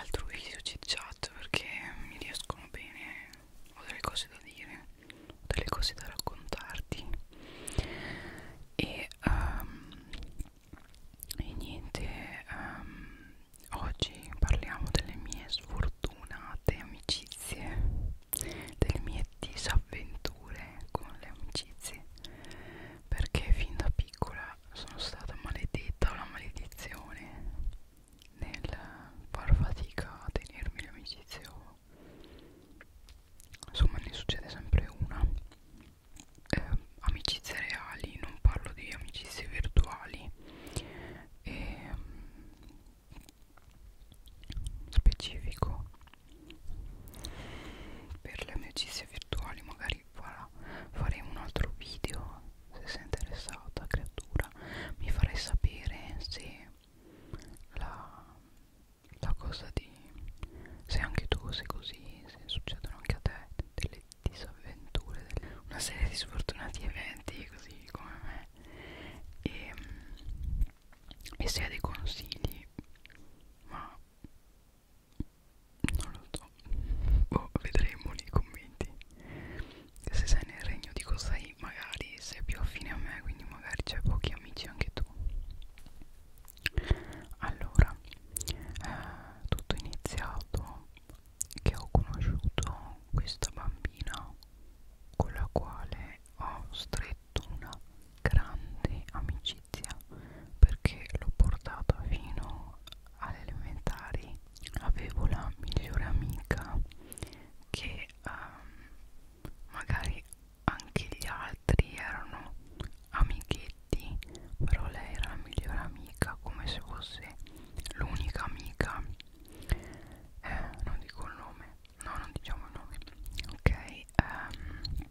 altro video chit chat perché mi riescono bene ho delle cose da dire ho delle cose da raccontarti e, um, e niente um, oggi parliamo delle mie sfortunate amicizie delle mie disavventure con le amicizie perché fin da piccola sono stata maledetta o la maledizione nel far fatica a tenermi l'amicizia insomma ne succede sempre una eh, amicizie reali non parlo di amicizie virtuali e ehm, specifico per le amicizie virtuali magari farà, farei un altro video se sei interessata creatura mi farei sapere se la, la cosa di se anche tu sei così se succedono anche a te delle disavventure delle, una serie di sfortunati eventi così come me e, ehm, e se hai dei consigli ma non lo so boh, vedremo nei commenti se sei nel regno di Kosai magari sei più affine a me quindi magari c'è pochi amici anche tu allora eh, tutto iniziato che ho conosciuto questa bambina con la quale ho stretto una grande amicizia perché l'ho portata fino alle elementari avevo la migliore amica che um, magari anche gli altri erano amichetti però lei era la migliore amica come se fosse l'unica amica eh, non dico il nome no non diciamo il nome ok um,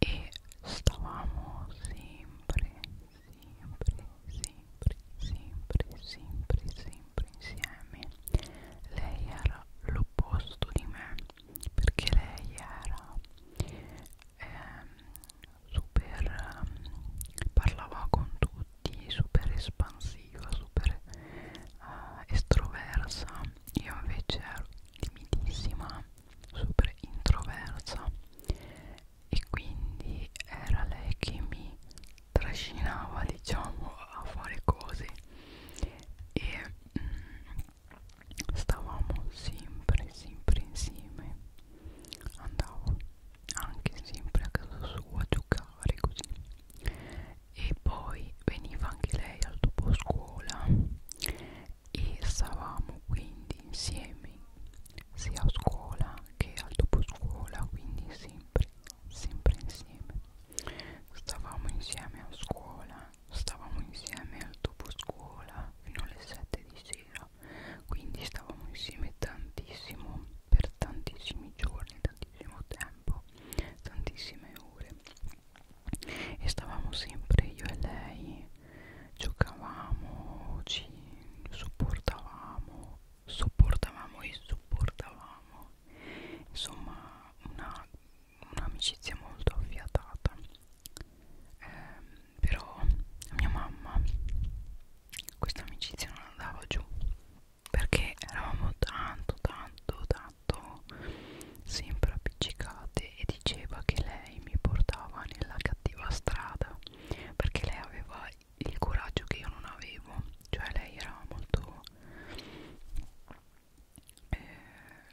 e stavamo sempre, sempre, sempre, sempre, sempre, sempre insieme. Lei era l'opposto di me perché lei era ehm, super, ehm, parlava con tutti, super espansiva, super eh, estroversa. Io invece ero limitissima super introversa e quindi era lei che mi trascinava diciamo a fare cose e mm, stavamo sempre sempre insieme andavo anche sempre a casa sua a giocare così e poi veniva anche lei al dopo scuola e stavamo quindi insieme sia a scuola che al dopo scuola quindi sempre sempre insieme stavamo insieme a scuola stavamo insieme al dopo scuola fino alle 7 di sera quindi stavamo insieme tantissimo per tantissimi giorni tantissimo tempo tantissime ore e stavamo sempre io e lei giocavamo ci sopportavamo sopportavamo e supportavamo insomma un'amicizia un molto affiatata eh, però a mia mamma questa amicizia non andava giù perché eravamo tanto tanto tanto sempre appiccicate e diceva che lei mi portava nella cattiva strada perché lei aveva il coraggio che io non avevo cioè lei era molto eh,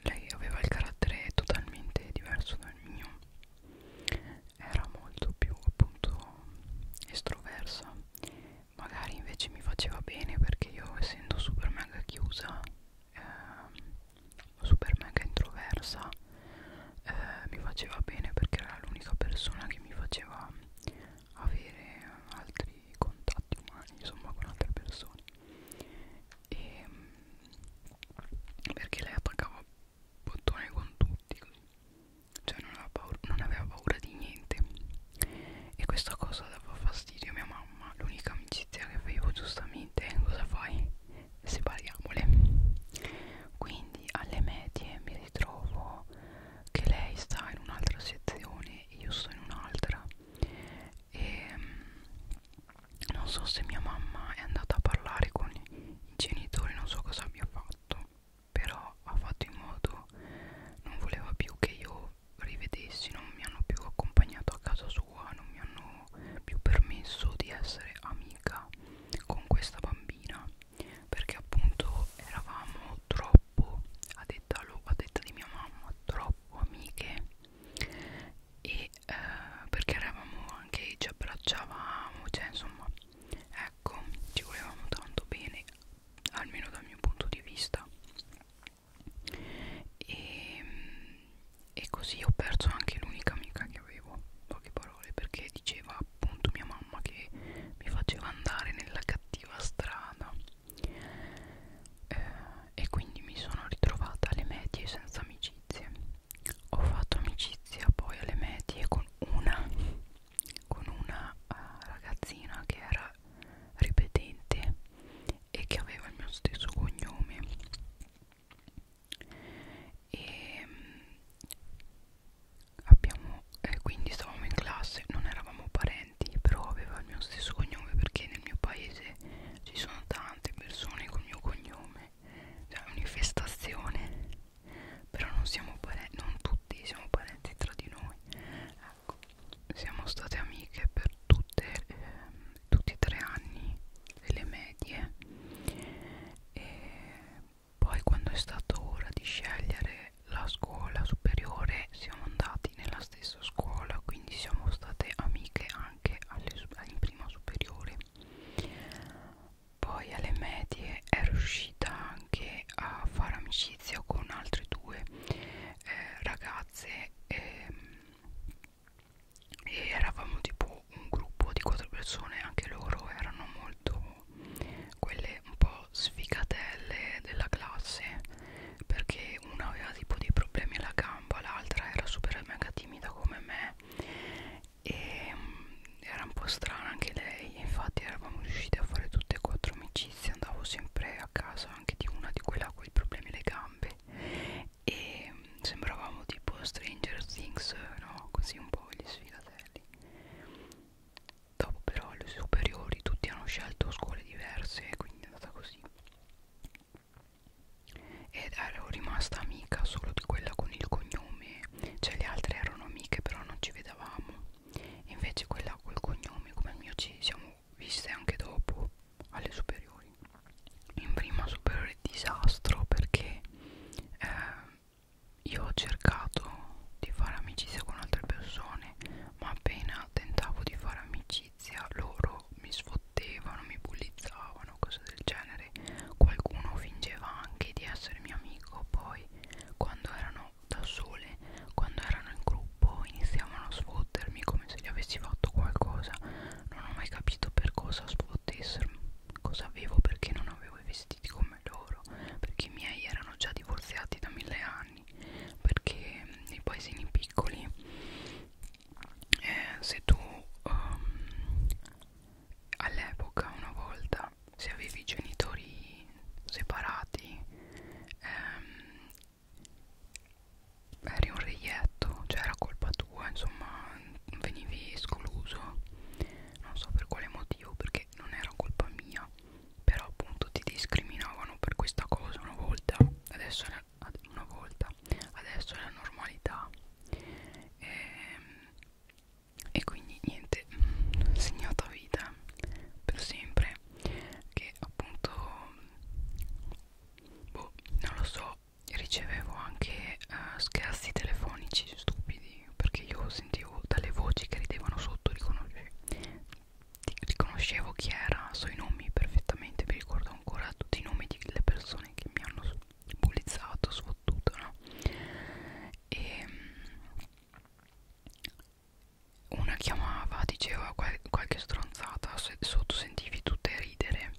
lei aveva il carattere totalmente diverso dal mio era molto più appunto estroversa magari invece mi faceva bene perché io essendo super mega chiusa eh, super mega introversa eh, mi faceva bene perché era l'unica persona che mi faceva avere altri contatti umani insomma con altre persone e mm, perché lei attaccava bottone con tutti cioè non aveva, paura, non aveva paura di niente e questa cosa dava fastidio a mia mamma l'unica amicizia che avevo giustamente cosa fai? separiamole quindi alle medie mi ritrovo che lei sta in un'altra sezione io sto in un'altra e ehm, non so se mia mamma è andata a parlare con i genitori non so cosa abbia fatto però ha fatto in modo non voleva più che io rivedessi non mi hanno più accompagnato a casa sua sua non mi hanno più permesso di essere amica con questa bambina perché appunto eravamo troppo a detta, a detta di mia mamma troppo amiche e eh, perché eravamo anche ci abbracciavamo cioè insomma ecco ci volevamo tanto bene almeno dal mio punto di vista e mm, e così ho perso anche l'unica amica che avevo, poche parole, perché diceva appunto mia mamma che mi faceva andare nella cattiva strada eh, e quindi mi sono ritrovata alle medie senza amicizie. Ho fatto amicizia poi alle medie con una, con una uh, ragazzina che era ripetente e che aveva il mio stesso cognome e ehm, abbiamo eh, quindi stavamo in classe non eravamo parenti però aveva il mio stesso cognome perché nel mio paese ci sono tante persone col mio cognome cioè è un'infestazione però non siamo parenti non tutti siamo parenti tra di noi ecco siamo state amiche per tutte ehm, tutti e tre anni le medie e poi quando è stato ora di scegliere la scuola superiore siamo andati nella stessa scuola quindi siamo state amiche anche alle, in prima superiore poi alle medie è riuscita anche a fare amicizia con altre due eh, ragazze ehm, e eravamo tipo un gruppo di quattro persone anche loro erano molto quelle un po' sfigatelle della classe perché una aveva tipo dei problemi alla gamba l'altra era super mega timida come me e mm, era un po' strana anche lei infatti eravamo riusciti a fare tutte e quattro amicizie andavo sempre a casa anche di una di quella con i problemi alle gambe e sembravamo tipo Stranger Things, no? Così un po' gli sfigatelli. Dopo però alle superiori tutti hanno scelto scuole diverse, quindi è andata così. Ed ero rimasta amica solo di quella con il cognome, cioè le altre erano amiche però non ci vedevamo. Invece quella col cognome, come il mio, ci siamo viste anche dopo alle superiori in prima superiore disastro perché eh, io ho cercato di fare amicizia con altre persone ma appena tentavo di fare amicizia loro mi sfottevano, mi bullizzavano, cose del genere qualcuno fingeva anche di essere mio amico poi quando erano da sole, quando erano in gruppo iniziavano a sfottermi come se gli avessi fatto qualcosa non ho mai capito per cosa sfottessero cosa avevo perché non avevo i vestiti come loro perché i miei erano già divorziati da mille anni perché nei mm, paesini piccoli eh, se tu um, all'epoca una volta se avevi i genitori separati ehm, eri un reietto, cioè era colpa tua, insomma venivi escluso, non so per quale motivo, perché non era colpa mia, però appunto ti discriminavano per questa cosa una volta, adesso è la, una volta, adesso è la normalità. E, ehm, e quindi niente, segnata vita per sempre, che appunto, boh, non lo so, ricevevo anche uh, scherzi telefonici stupidi perché io sentivo dalle voci che ridevano sotto riconosce riconoscevo chi era so i nomi perfettamente mi ricordo ancora tutti i nomi delle persone che mi hanno bullizzato sfottuto no? e ehm, una chiamava diceva qual qualche stronzata sotto sentivi tutte ridere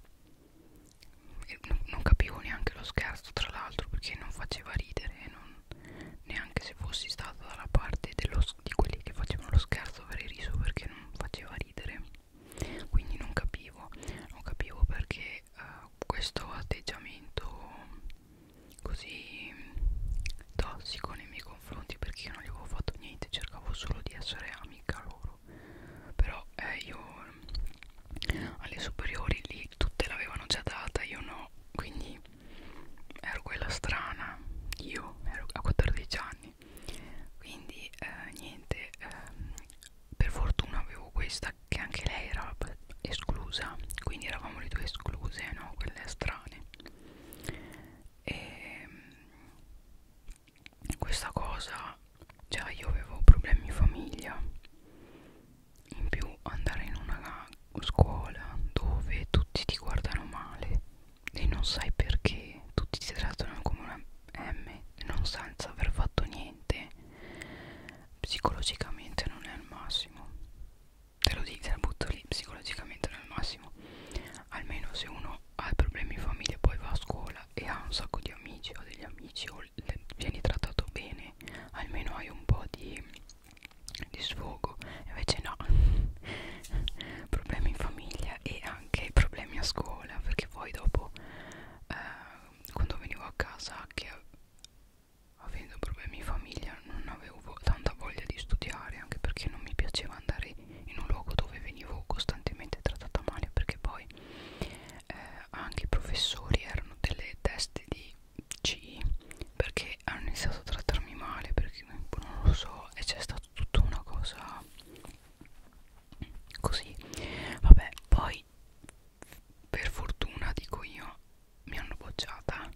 e non, non capivo neanche lo scherzo tra l'altro perché non faceva ridere non, neanche se fossi stata dalla parte dello, di quelli che facevano lo scherzo avrei riso perché non faceva ridere quindi non capivo non capivo perché uh, questo atteggiamento così tossico nei miei confronti perché io non gli avevo fatto niente cercavo solo di essere amica loro no però eh, io alle superiori lì tutte l'avevano già data io no quindi ero quella strana io ero a 14 anni quindi eh, niente ehm, per fortuna avevo questa che anche lei era esclusa quindi eravamo le due escluse no quelle strane e ehm, questa cosa già cioè, io avevo problemi in famiglia in più andare in una scuola dove tutti ti guardano male e non sai perché tutti ti trattano come una M non senza aver fatto niente psicologicamente non è il massimo te lo dico te la butto lì psicologicamente non è il massimo almeno se uno ha problemi in famiglia poi va a scuola e ha un sacco di amici o degli amici o vieni trattato bene almeno hai un po' di, di sfogo invece no problemi in famiglia e anche problemi a scuola perché poi dopo eh, quando venivo a casa che avendo problemi in famiglia non avevo vo tanta voglia di studiare anche perché non mi piaceva andare in un luogo dove venivo costantemente trattata male perché poi eh, anche i professori erano delle teste di C perché hanno iniziato a trattarmi male perché non lo so e c'è stata tutta una cosa così vabbè poi per fortuna dico io mi hanno bocciata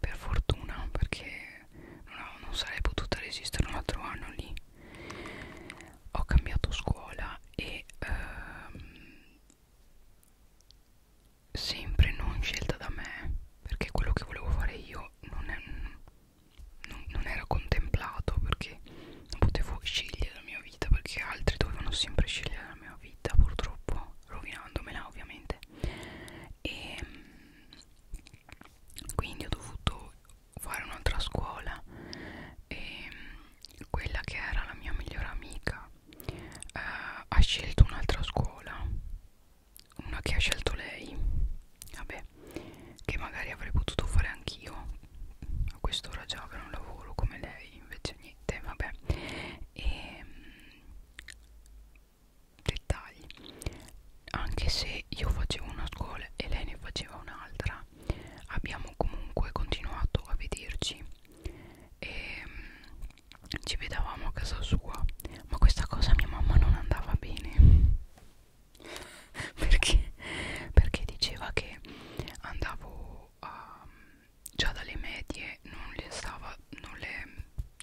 per fortuna perché non, ho, non sarei potuta resistere un altro anno lì ho cambiato scuola e ehm, sempre non scelta da me perché quello che volevo fare io non, è, non, non era contemplato perché non potevo scegliere la mia vita perché altri dovevano sempre scegliere la mia vita purtroppo rovinandomela ovviamente e ehm, quindi ho dovuto fare un'altra scuola e ehm, quella che era la mia migliore amica eh, ha scelto un'altra scuola una che ha scelto lei vabbè che magari avrei potuto fare anch'io a quest'ora già avrei un lavoro come lei invece niente vabbè e ehm, dettagli anche se io facevo una scuola e lei ne faceva un'altra abbiamo comunque continuato a vederci e um, ci vedevamo a casa sua ma questa cosa a mia mamma non andava bene perché? perché diceva che andavo a, mm, già dalle medie non le, stava, non le mm,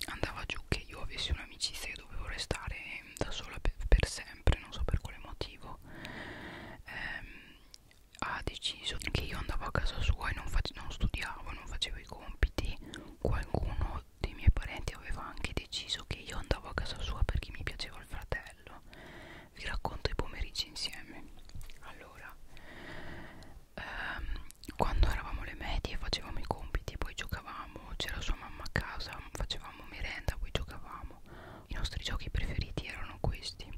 andava giù che io avessi un'amicizia e dovevo restare da sola per, per sempre non so per quale motivo ehm, ha deciso che io andavo a casa sua e non, non studiavo, non facevo i compiti. Qualcuno dei miei parenti aveva anche deciso che io andavo a casa sua perché mi piaceva il fratello. Vi racconto i pomeriggi insieme. Allora, ehm, quando eravamo le medie facevamo i compiti, poi giocavamo, c'era sua mamma a casa, facevamo merenda, poi giocavamo. I nostri giochi preferiti erano questi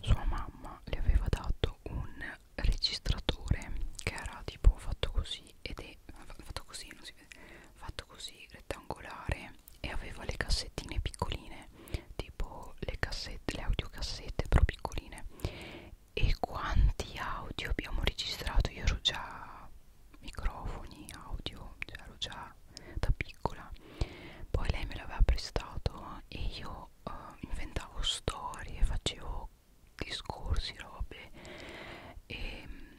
sua mamma le aveva dato un registratore che era tipo fatto così ed è fatto così non si vede fatto così rettangolare e aveva le cassettine piccoline tipo le cassette le audiocassette però piccoline e quanti audio abbiamo registrato io ero già microfoni audio cioè ero già da piccola piccola poi lei me l'aveva prestato e io uh, inventavo storie facevo discorsi robe e mm,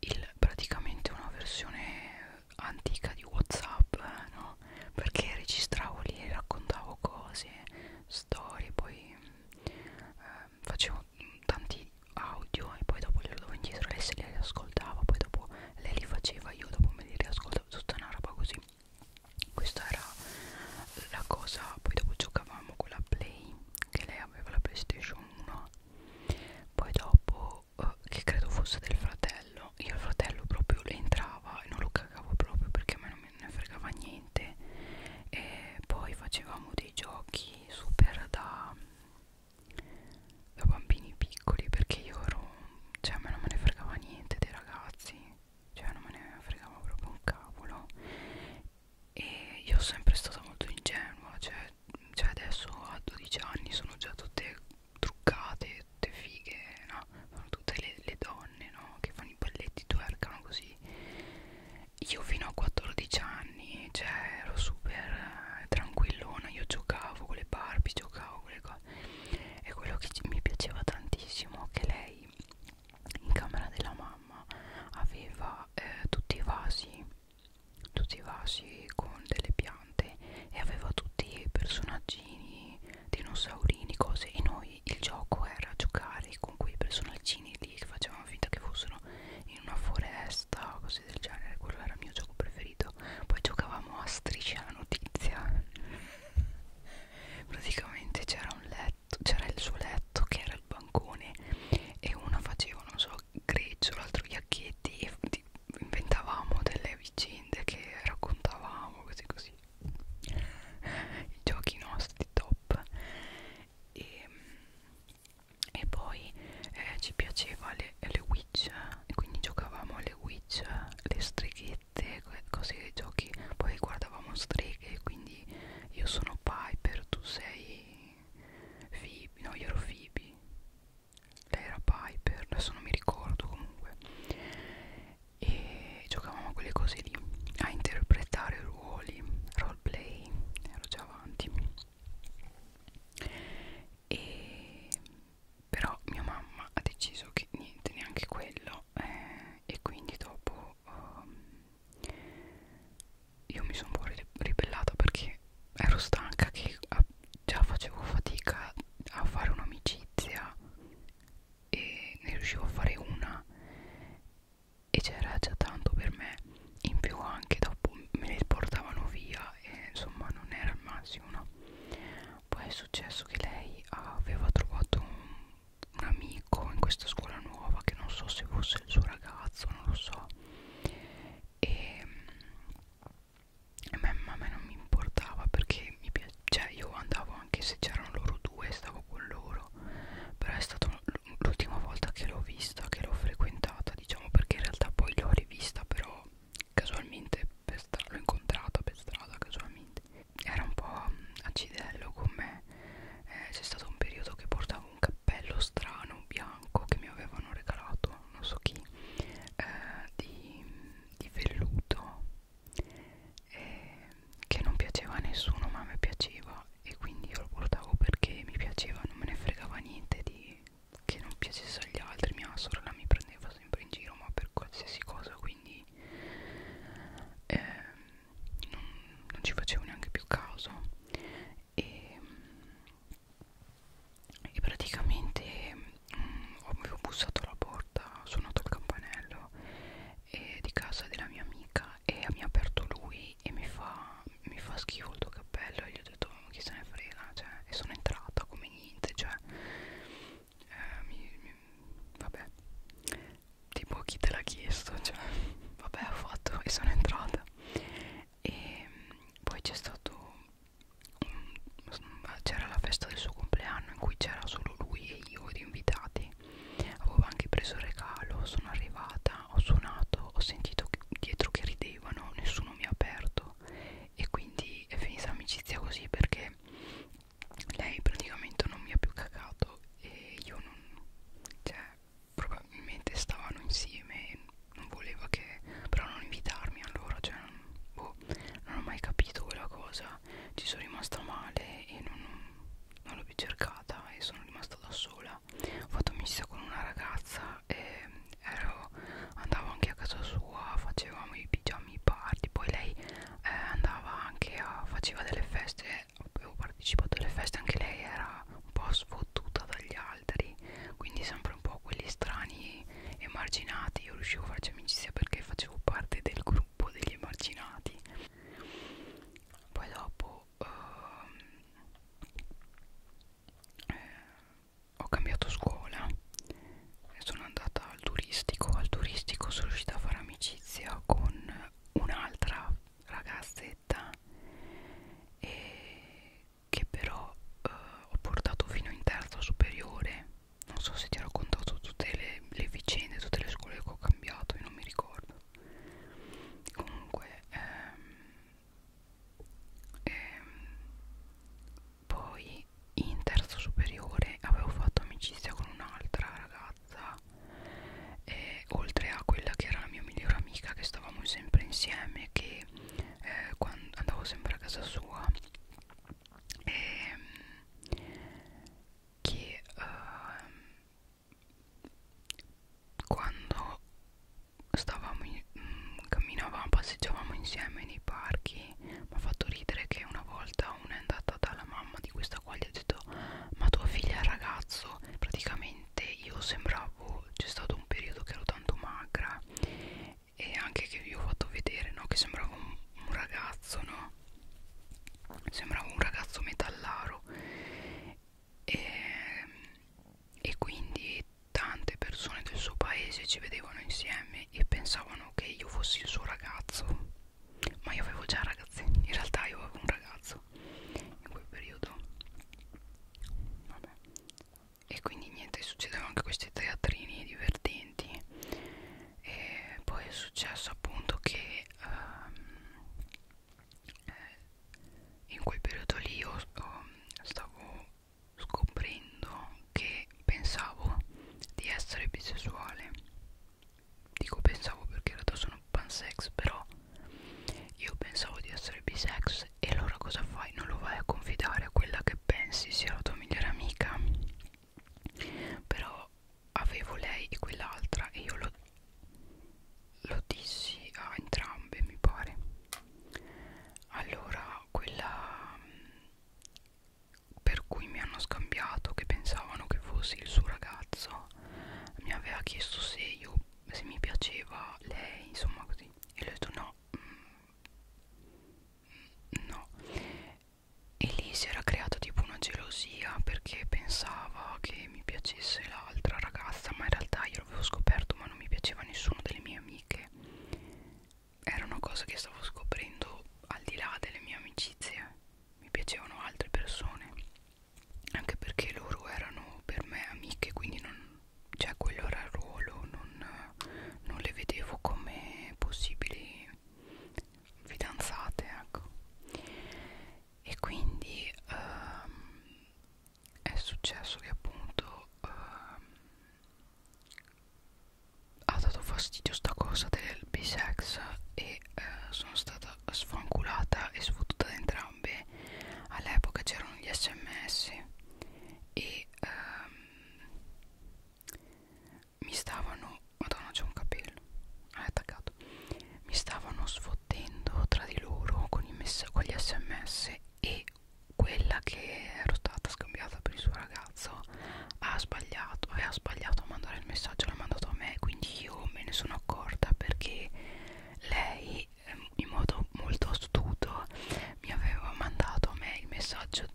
il, praticamente una versione antica di whatsapp eh, no? perché registravo lì e raccontavo cose storie poi mm, eh, facevo mm, tanti audio e poi dopo li dovevo indietro lei se li ascoltava poi dopo lei li faceva io dopo me li riascoltavo tutta, tutta una roba così questa era la cosa poi dopo giocavamo con la play che lei aveva la playstation 1 poi dopo eh, che credo fosse del fratello io il fratello proprio le entrava e non lo cagavo proprio perché a me non me ne fregava niente e poi facevamo dei giochi super da da bambini piccoli perché io ero cioè a me non me ne fregava niente dei ragazzi cioè non me ne fregava proprio un cavolo e io sono sempre stata molto ingenua cioè, cioè adesso a 12 anni sono già tutte truccate tutte fighe no? sono tutte le, le donne no? che fanno i balletti twerkano così io fino a 14 anni cioè ero super eh, tranquillona io giocavo con le Barbie giocavo con le cose e quello che mi piaceva tantissimo che lei in camera della mamma aveva eh, tutti i vasi tutti i vasi con delle piante e aveva tutti i personaggini dinosaurini cose e noi il gioco era giocare con quei personaggini lì che facevamo finta che fossero in una foresta o cose del genere quello era il mio gioco preferito poi giocavamo a striscia la notizia praticamente c'era un letto c'era il suo letto che era il bancone e uno faceva non so grezzo l'altro ghiacchietti e inventavamo delle vicende che raccontavamo così così i giochi nostri top e, ehm, e poi eh, ci piaceva le, le witch e quindi giocavamo alle witch, le streghette, cose giochi, poi guardavamo streghe, quindi io sono Piper, tu sei Phoebe, no io ero Phoebe, lei era Piper, adesso non mi ricordo comunque e giocavamo a quelle cose lì, a interpretare ruoli, roleplay, ero già avanti e però mia mamma ha deciso che niente neanche quello eh, e quindi dopo um, io mi sono un po' ribellata perché ero stanca che già facevo fatica a fare un'amicizia e ne riuscivo a fare una e c'era già tanto per me in più anche dopo me li portavano via e insomma non era il massimo no? poi è successo che lei aveva trovato un, un amico in questa scuola nuova che non so se fosse il suo ragazzo non lo so e, e me, ma a me non mi importava perché mi piace, cioè io andavo anche se c'erano loro due stavo con loro però è stata l'ultima volta che l'ho vista che l'ho frequentata diciamo perché in realtà poi l'ho rivista però casualmente per strada, l'ho incontrata per strada casualmente era un po' acidello con me eh, c'è stato un periodo che portavo un cappello strano bianco che mi avevano regalato non so chi eh, di, di velluto eh, che non piaceva a nessuno ma a me piaceva e quindi io lo portavo perché mi piaceva non me ne fregava niente di che non piacesse agli altri mia sorella mi prendeva sempre in giro ma per qualsiasi cosa quindi poi eh, non, non ci facevo neanche più caso e, e praticamente mh, mm, avevo bussato alla porta, ho suonato il campanello eh, di casa della mia amica e mi ha aperto lui e mi fa, mi fa schifo il tuo cappello e gli ho detto chi se ne frega cioè, e sono entrata come niente cioè eh, mi, mi, vabbè tipo chi te l'ha chiesto cioè vabbè ho fatto e sono entrata e mm, poi c'è stato c'era la festa del suo compleanno in cui c'era solo lui e io ed invitati avevo anche preso il regalo sono arrivata ho suonato ho sentito dietro che ridevano nessuno mi ha aperto e quindi è finita l'amicizia così perché lei praticamente non mi ha più cagato e io non cioè probabilmente stavano insieme e non voleva che però non invitarmi allora cioè non, boh, non ho mai capito quella cosa ci sono rimasta male e non, non l'ho più cercata e sono rimasta da sola ho fatto mista con una ragazza e ero, andavo anche a casa sua facevamo i pigiami gummy party poi lei eh, andava anche a faceva delle feste avevo partecipato alle feste anche lei era un po' sfottuta dagli altri quindi sempre un po' quelli strani emarginati io riuscivo a farci amicizia perché facevo parte del gruppo degli emarginati poi dopo ehm, eh, ho cambiato scuola sono andata al turistico al turistico sono riuscita a fare amicizia con un'altra ragazzetta e che però eh, ho portato fino in terza superiore non so se ti ho raccontato tutte le, le vicende tutte le scuole che ho cambiato io non mi ricordo comunque ehm, ehm, poi in terzo superiore avevo fatto amicizia con un'altra ragazza e, oltre a quella che era la mia migliore amica che stavamo sempre insieme che eh, quando andavo sempre a casa sua e, ehm, che uh, quando stavamo in, mm, camminavamo passeggiavamo insieme nei parchi poi mi ha fatto ridere che una volta una è andata dalla mamma di questa qua gli ha detto ma tua figlia è ragazzo praticamente io sembravo c'è stato un periodo che ero tanto magra e anche che vi ho fatto vedere no che sembravo un, un ragazzo no sembravo un ragazzo metallaro e, e quindi tante persone del suo paese ci vedevano insieme e pensavano che io fossi il suo ragazzo ma io avevo già ragazze in realtà io avevo un ragazzo in quel periodo vabbè e quindi niente succedevano anche questi teatrini divertenti e poi è successo appunto che um, in quel periodo lì io um, stavo scoprendo che pensavo di essere bisessuale dico pensavo perché in realtà sono pansex però io pensavo di essere bisex e allora cosa fai? Non lo vai a confidare a quella che pensi sia la tua migliore amica però avevo lei e quell'altra e io lo, lo dissi a entrambe mi pare allora quella per cui mi hanno scambiato che pensavano che fossi il suo ragazzo mi aveva chiesto se io se mi piaceva lei insomma così e le ho detto no mm. no e lì si era creata tipo una gelosia perché pensava che mi piacesse l'altra ragazza ma in realtà io l'avevo scoperto ma non mi piaceva nessuno delle mie amiche era una cosa che stavo scoprendo al di là delle mie amicizie mi piacevano altre persone anche perché loro erano per me amiche quindi non, cioè quello era il ruolo non, non le vedevo come possibili fidanzate ecco e quindi ehm, è successo che appunto ehm, ha dato fastidio sta cosa del bisex e eh, sono stata sfanculata e sfottuta da entrambe all'epoca c'erano gli sms e ehm, mi stavano madonna c'è un capello è attaccato mi stavano sfottendo tra di loro con, i messa con gli sms e quella che ero stata scambiata per il suo ragazzo ragazza ha sbagliato e ha sbagliato a mandare il messaggio l'ha mandato a me quindi io me ne sono accorta perché lei ehm, in modo molto astuto mi aveva mandato a me il messaggio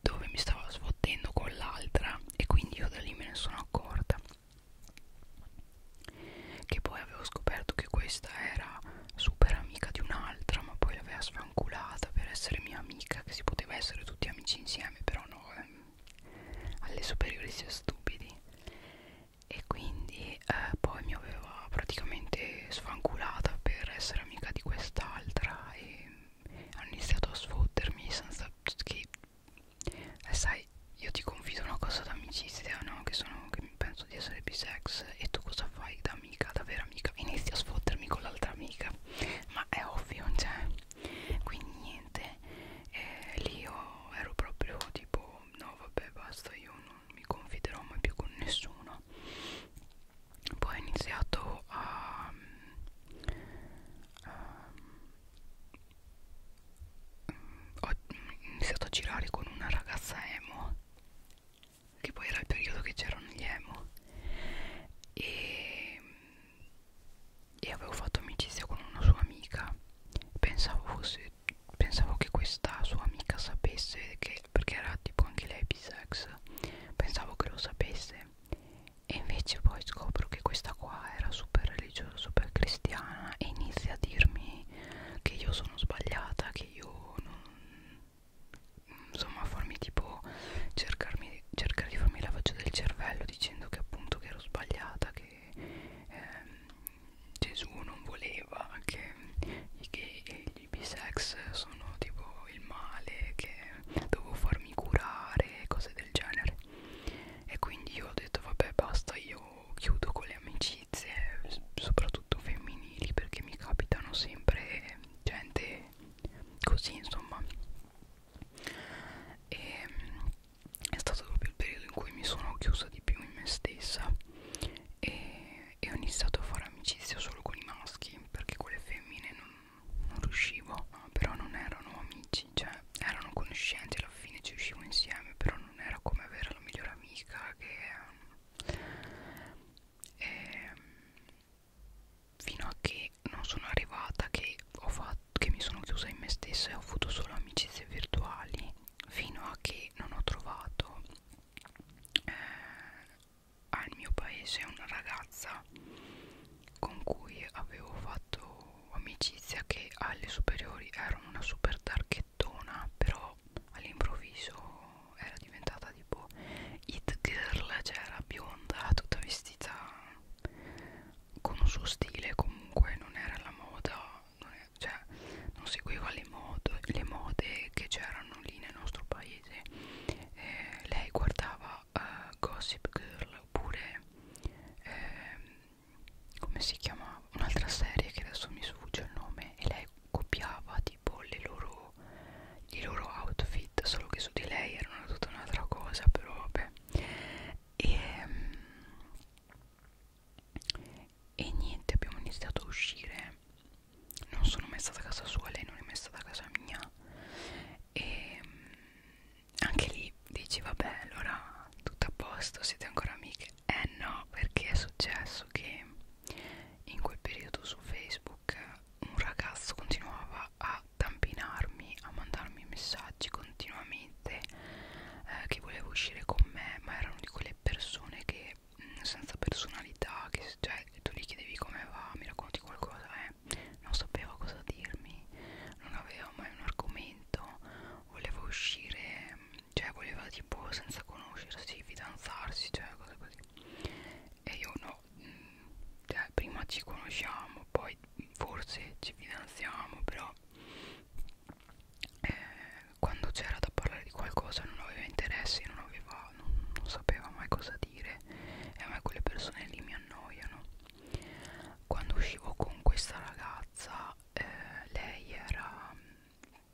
dove mi stava sfottendo con l'altra e quindi io da lì me ne sono accorta che poi avevo scoperto che questa era super amica di un'altra ma poi l'aveva sfanculata per essere mia amica che si poteva essere tutti amici insieme però no eh, alle superiori sia stupidi e quindi eh, poi mi aveva praticamente sfanculata per essere amica di quest'altra e hanno iniziato a sfottermi senza che eh, sai io ti confido una cosa d'amicizia no? che sono che penso di essere bisex e tu cosa fai da amica da vera amica inizi a sfottermi con l'altra amica ma è ovvio cioè quindi niente eh, lì io ero proprio tipo no vabbè basta io non mi confiderò mai più con nessuno poi ho iniziato a, a mm, ho iniziato a girare con una ragazza emo che poi era il periodo che c'erano gli emo e e avevo fatto amicizia con una sua amica pensavo fosse pensavo che questa sua amica sapesse che perché era tipo anche lei bisex pensavo che lo sapesse e invece poi scopro che questa qua era super religiosa super cristiana e inizia a dirmi che io sono sbagliata che io non insomma farmi tipo cercarmi farmi, cercare di farmi lavaggio del cervello dicendo che appunto che ero sbagliata, che ehm, Gesù non voleva, che i gay e gli bisex sono tipo il male, che dovevo farmi curare, cose del genere. E quindi io ho detto vabbè basta, io chiudo con le amicizie, soprattutto femminili, perché mi capitano sempre gente così insomma e mm, è stato proprio il periodo in cui mi sono chiusa di più in me stessa e, e ho iniziato a fare amicizia solo con i maschi perché con le femmine non, non riuscivo però non erano amici cioè erano conoscenti alla fine ci uscivo insieme però non era come avere la migliore amica che ehm, e, mm, fino a che non sono arrivata che, ho fatto, che mi sono chiusa in me stessa e ho avuto solo amicizie virtuali fino a che non ho trovato eh, al mio paese una ragazza con cui avevo fatto amicizia che alle superiori era una super targhettona però all'improvviso era diventata tipo it girl cioè era bionda tutta vestita con un suo stile comunque non era la moda non, è, cioè, non seguiva le, mod, le mode che c'erano lì nel nostro paese eh, lei guardava uh, Gossip Girl oppure eh, come si chiamava un'altra serie che adesso mi sfugge il nome e lei copiava tipo le loro i loro outfit solo che su di lei erano tutta un'altra cosa però vabbè e, mm, e niente abbiamo iniziato a uscire non sono mai stata a casa sua lei non è mai stata a casa mia e mm, anche lì dici vabbè allora tutto a posto siete ancora amiche eh no perché è successo che in quel periodo su facebook un ragazzo continuava a a tampinarmi, a mandarmi messaggi continuamente eh, che voleva uscire con me, ma erano di quelle persone che mh, mm, senza personalità, che cioè tu gli chiedevi come va, mi racconti qualcosa, eh, non sapeva cosa dirmi, non aveva mai un argomento, voleva uscire, mm, cioè voleva tipo senza conoscersi, fidanzarsi, cioè cose così. E io no, mh, mm, cioè prima ci conosciamo, poi forse ci finanziamo però eh, quando c'era da parlare di qualcosa non aveva interessi non, aveva, non, non sapeva mai cosa dire e a me quelle persone lì mi annoiano quando uscivo con questa ragazza eh, lei era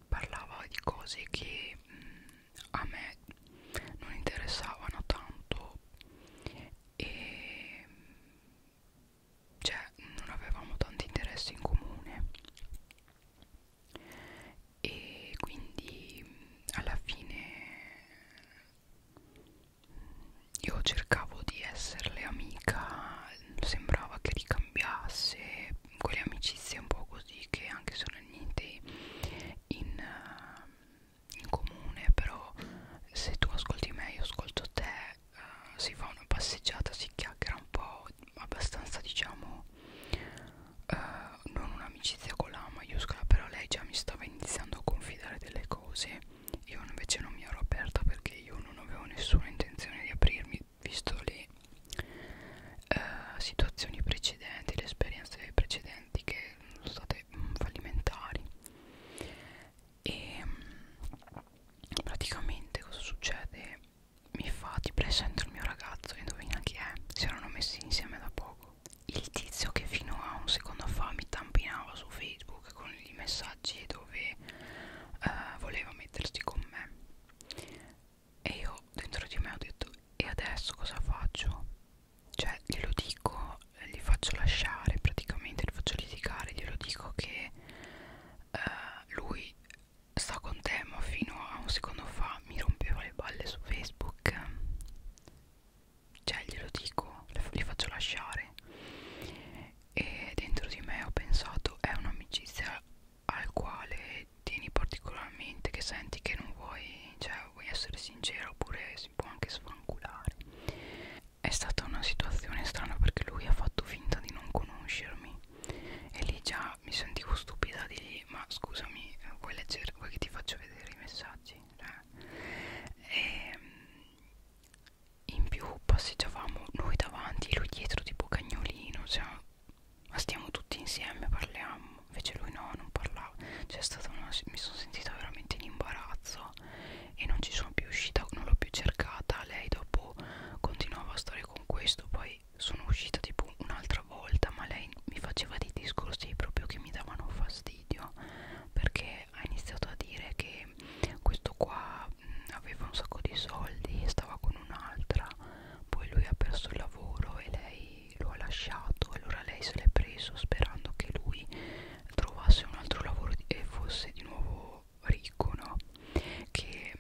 parlava di cose che mh, mm, a me non interessavano tanto e cioè non avevamo tanti interessi in comune e quindi alla fine io cercavo di esserle amica sembrava che ricambiasse quelle amicizie un po' così che anche sono niente in, in comune però se tu ascolti me io ascolto te eh, si fa una passeggiata si chiacchiera un po' abbastanza diciamo eh, non un'amicizia con la maiuscola però lei già mi stava iniziando a confidare delle cose io invece non mi ero aperta perché io non avevo nessuna intenzione di aprirmi visto le eh, situazioni precedenti le esperienze precedenti che sono state mh, fallimentari e praticamente cosa succede? Mi fa ti presento il mio ragazzo, indovina chi è? Si erano messi insieme da poco. Il tizio che fino a un secondo fa mi tampinava su Facebook con i messaggi dove eh, voleva mettersi con me. E io dentro di me ho detto: E adesso cosa faccio? Cioè, glielo dico li faccio lasciare praticamente, li faccio litigare, glielo dico che eh, lui sta con te ma fino a un secondo fa mi rompeva le balle su Facebook cioè glielo dico, li faccio lasciare e dentro di me ho pensato è un'amicizia al quale tieni particolarmente che senti che non vuoi, cioè vuoi essere sincero oppure si può anche sfanculare è stata una situazione strana perché lui ha fatto finta di non conoscermi e lì già mi sentivo stupida di lì, ma scusami vuoi leggere vuoi che ti faccio vedere i messaggi cioè, eh? e in più passeggiavamo noi davanti lui dietro tipo cagnolino cioè ma stiamo tutti insieme parliamo invece lui no non parlava cioè è stata una mi sono sentita veramente in imbarazzo so e non ci sono più uscita non l'ho più cercata lei dopo continuava a stare con questo poi sono uscita tipo un'altra volta ma lei mi faceva dei discorsi proprio che mi davano fastidio perché ha iniziato a dire che questo qua mh, mm, aveva un sacco di soldi e stava con un'altra poi lui ha perso il lavoro e lei lo ha lasciato allora lei se l'è preso sperando che lui trovasse un altro lavoro e fosse di nuovo ricco, no? Che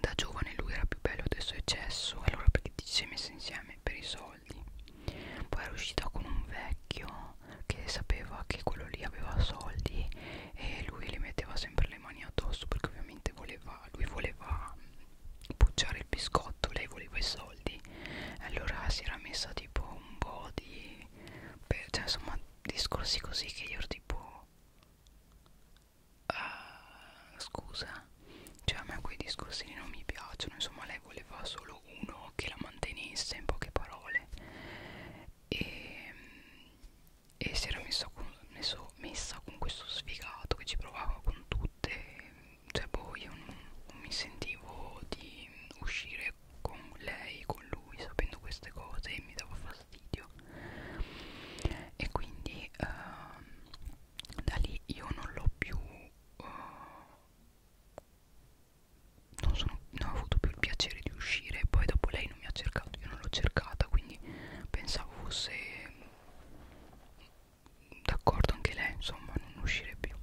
da giovane lui era più bello del suo eccesso, allora perché ti sei messa insieme per i soldi. Poi era uscita con un vecchio che sapeva che quello lì aveva soldi e lui le metteva sempre le mani addosso perché ovviamente voleva, lui voleva pucciare il biscotto, lei voleva i soldi. Allora si era messa tipo un po' di per, cioè insomma discorsi così che io ero tipo uh, scusa cioè a me quei discorsi non mi piacciono insomma lei voleva solo uno che la mantenesse in poche parole e, ehm, e si era messa con, messo, messa con questo sfigato che ci provava con tutte cioè boh io non, non mi sentivo di uscire con lei, con lui, sapendo queste cose e mi dava fastidio e quindi uh, da lì io non l'ho più uh, non, sono, non ho avuto più il piacere di uscire poi dopo lei non mi ha cercato io non l'ho cercata quindi pensavo fosse d'accordo anche lei insomma non uscire più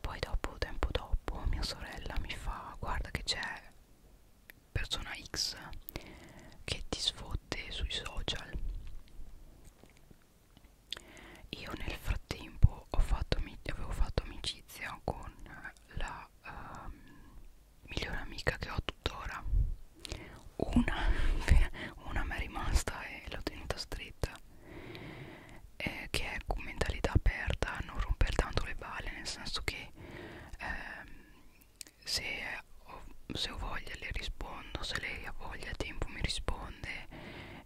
poi dopo tempo dopo mia sorella mi fa guarda che c'è persona X che ti sfotte sui social io nel frattempo ho fatto, avevo fatto amicizia con la uh, migliore amica che ho tuttora una, una mi è rimasta e l'ho tenuta stretta eh, che è con mentalità aperta non romper tanto le balle nel senso che ehm, se, ho, se ho voglia le rispondo se lei ha voglia a tempo mi risponde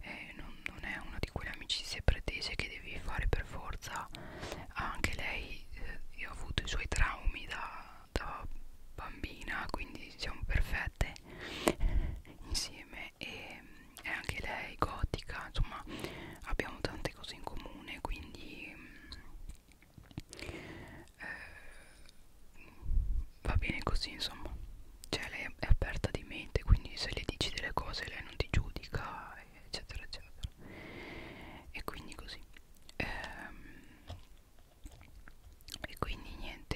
eh, non, non è una di quelle amicizie pretese che devi fare per forza anche lei eh, ha avuto i suoi traumi da, da bambina quindi siamo perfette insieme e è anche lei gotica insomma abbiamo tante cose in comune quindi eh, va bene così insomma cioè lei è aperta di mente quindi se le dici delle cose lei non ti giudica eccetera eccetera e quindi così ehm, e quindi niente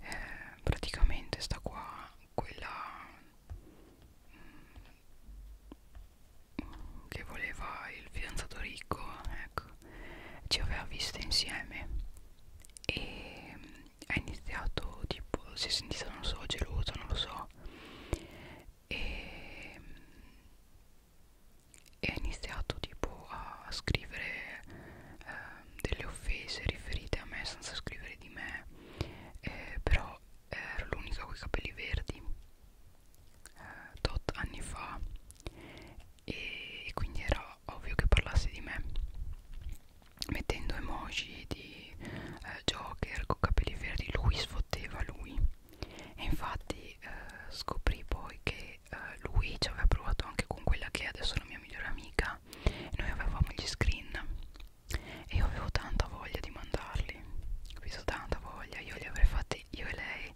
eh, praticamente sta qua quella che voleva il fidanzato ricco ecco ci aveva viste insieme e ha iniziato tipo si è sentita non so gelosa non lo so e, e ha iniziato tipo a scrivere eh, delle offese riferite a me senza scrivere di me eh, però ero l'unica con i capelli verdi eh, tot anni fa e, e quindi era ovvio che parlasse di me mettendo emoji di eh, Joker con capelli verdi lui sfotteva lui e infatti eh, scoprì poi che eh, lui ci aveva provato anche con quella che è adesso la mia migliore amica e noi avevamo gli screen e io avevo tanta voglia di mandarli ho tanta voglia io li avrei fatti io e lei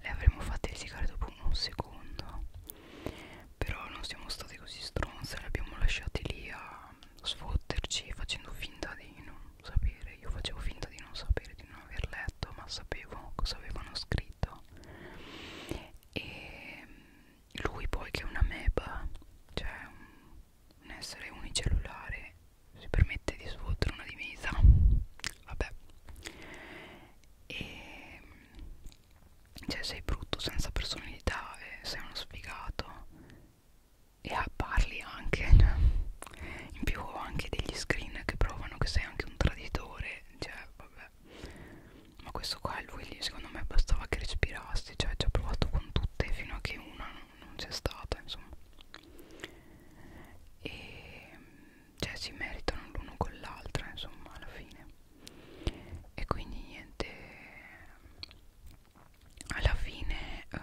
le avremmo fatte risicare dopo un secondo però non siamo state così stronze le abbiamo lasciate lì a sfotterci facendo finta di non sapere io facevo finta di non sapere di non aver letto ma sapevo cosa avevano scritto e lui poi che è una meba cioè un un essere unicellulare si permette di svoltare una divisa vabbè e cioè sei brutto senza personalità sei uno sfigato e parli anche in più ho anche degli screen che provano che sei anche un traditore cioè vabbè ma questo qua lui secondo me bastava che respirassi cioè ci ho provato con tutte fino a che una non c'è stata insomma e cioè si meritano l'uno con l'altra insomma alla fine e quindi niente alla fine eh,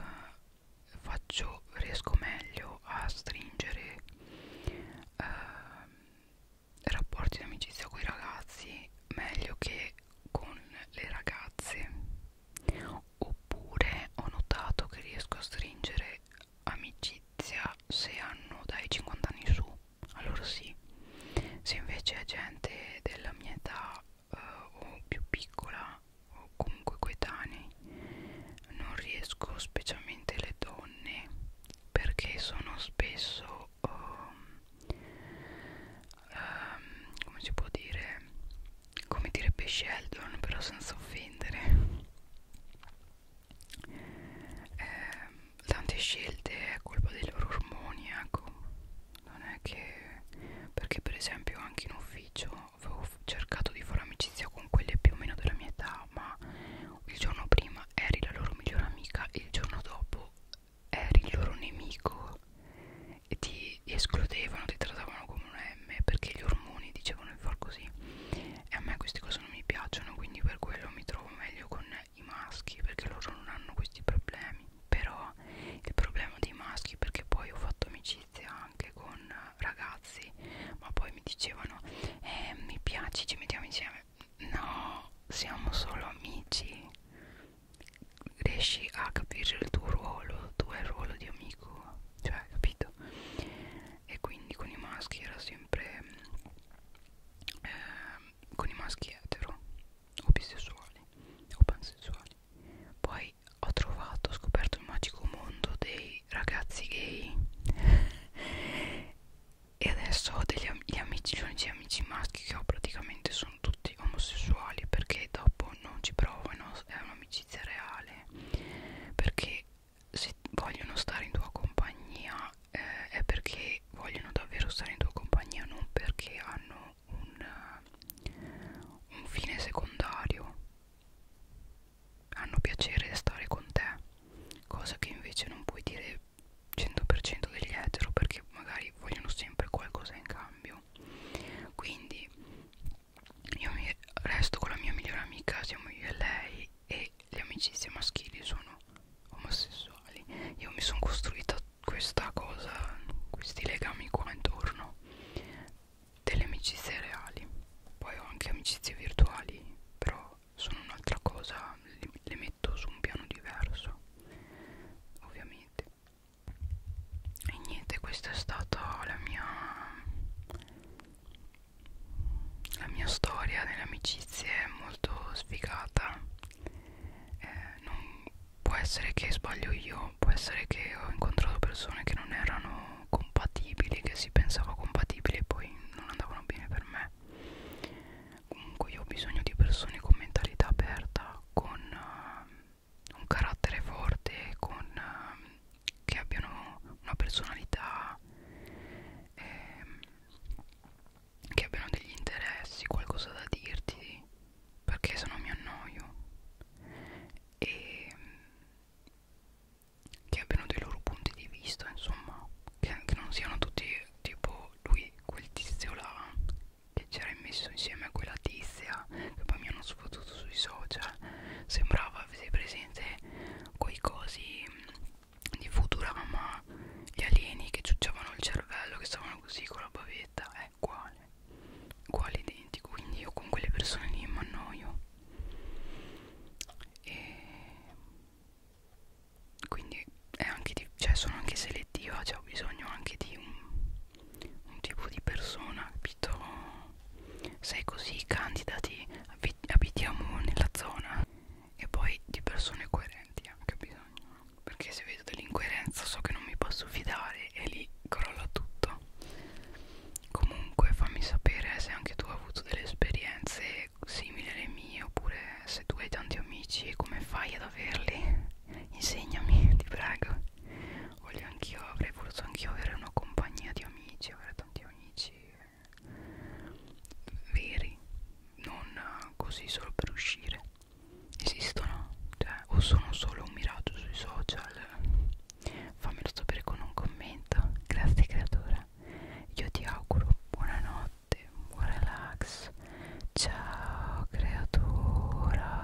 faccio riesco meglio a stringere eh, rapporti di amicizia con i ragazzi meglio che con le ragazze oppure ho notato che riesco a stringere amicizia se hanno dai 50 anni su allora sì se invece è gente della mia età eh, o più piccola o comunque coetanei non riesco specialmente le donne perché sono spesso um, ehm, come si può dire come direbbe Sheldon però senza offendere ehm, tante scelte è colpa dei loro ormoni ecco non è che perché per esempio anche in ufficio avevo cercato di fare amicizia con quelle più o meno della mia età ma il giorno prima eri la loro migliore amica e il giorno dopo eri il loro nemico e ti escludevano, ti trattavano come un M perché gli ormoni dicevano di far così e a me queste cose non mi piacciono quindi per quello mi trovo meglio con i maschi perché loro non hanno questi problemi però il problema dei maschi perché poi ho fatto amicizia anche con ragazzi ma poi mi dicevano eh mi piaci ci mettiamo insieme no siamo solo amici riesci a capire il tuo ruolo tu hai il ruolo di amico cioè capito e quindi con i maschi era sempre eh, con i maschi etero o bisessuali o pansessuali poi ho trovato, ho scoperto il magico mondo dei ragazzi gay e adesso ho degli am gli amici, gli amici maschi che ho praticamente sono tutti omosessuali perché dopo non ci provano è un'amicizia reale perché se vogliono stare in tua compagnia eh, è perché vogliono davvero stare in tua compagnia non perché hanno un, uh, un fine secondario hanno piacere di stare con te cosa che invece non puoi dire 100% degli etero perché magari vogliono sempre qualcosa in cambio quindi io mi resto con la mia migliore amica, siamo io e lei e le amicizie maschili sono omosessuali. Io mi sono costruita questa cosa, questi legami qua intorno, delle amicizie reali. Poi ho anche amicizie virtuali, però sono un'altra cosa, le, le metto su un piano diverso, ovviamente e niente questa è stata la mia la mia storia delle amicizie è molto sfigata eh, non può essere che sbaglio io può essere che ho incontrato persone che non erano compatibili che si pensava compatibili e poi non andavano bene per me comunque io ho bisogno di persone con mentalità aperta con uh, un carattere forte con, um, che abbiano una personalità ehm, che abbiano degli interessi qualcosa da dirti perché se no mi annoio e ehm, che abbiano dei loro punti di vista insomma che, che non siano tutti tipo lui quel tizio là che c'era messo insieme a quella tizia che poi mi hanno soprattutto sui social sembrava avete presente quei cosi di Futurama gli alieni che ciucciavano il cervello che stavano così con la bavetta è eh, uguale uguale identico quindi io con quelle persone lì mi annoio e quindi è anche di, cioè sono anche selettiva cioè ho bisogno anche di un un tipo di persona, capito? Sei così, candidati, abitiamo nella zona e poi di persone coerenti anche bisogno, perché se vedo dell'incoerenza so che non mi posso fidare e lì crolla tutto. Comunque fammi sapere se anche tu hai avuto delle esperienze simili alle mie oppure se tu hai tanti amici come fai ad averli. Insegnami, ti prego voglio anch'io, avrei voluto anch'io avere una compagnia di amici, avere tanti amici eh, veri, non eh, così solo per uscire. Esistono, cioè, o sono solo un miraggio sui social. Fammelo sapere con un commento. Grazie creatura. Io ti auguro buonanotte, buon relax. Ciao creatura.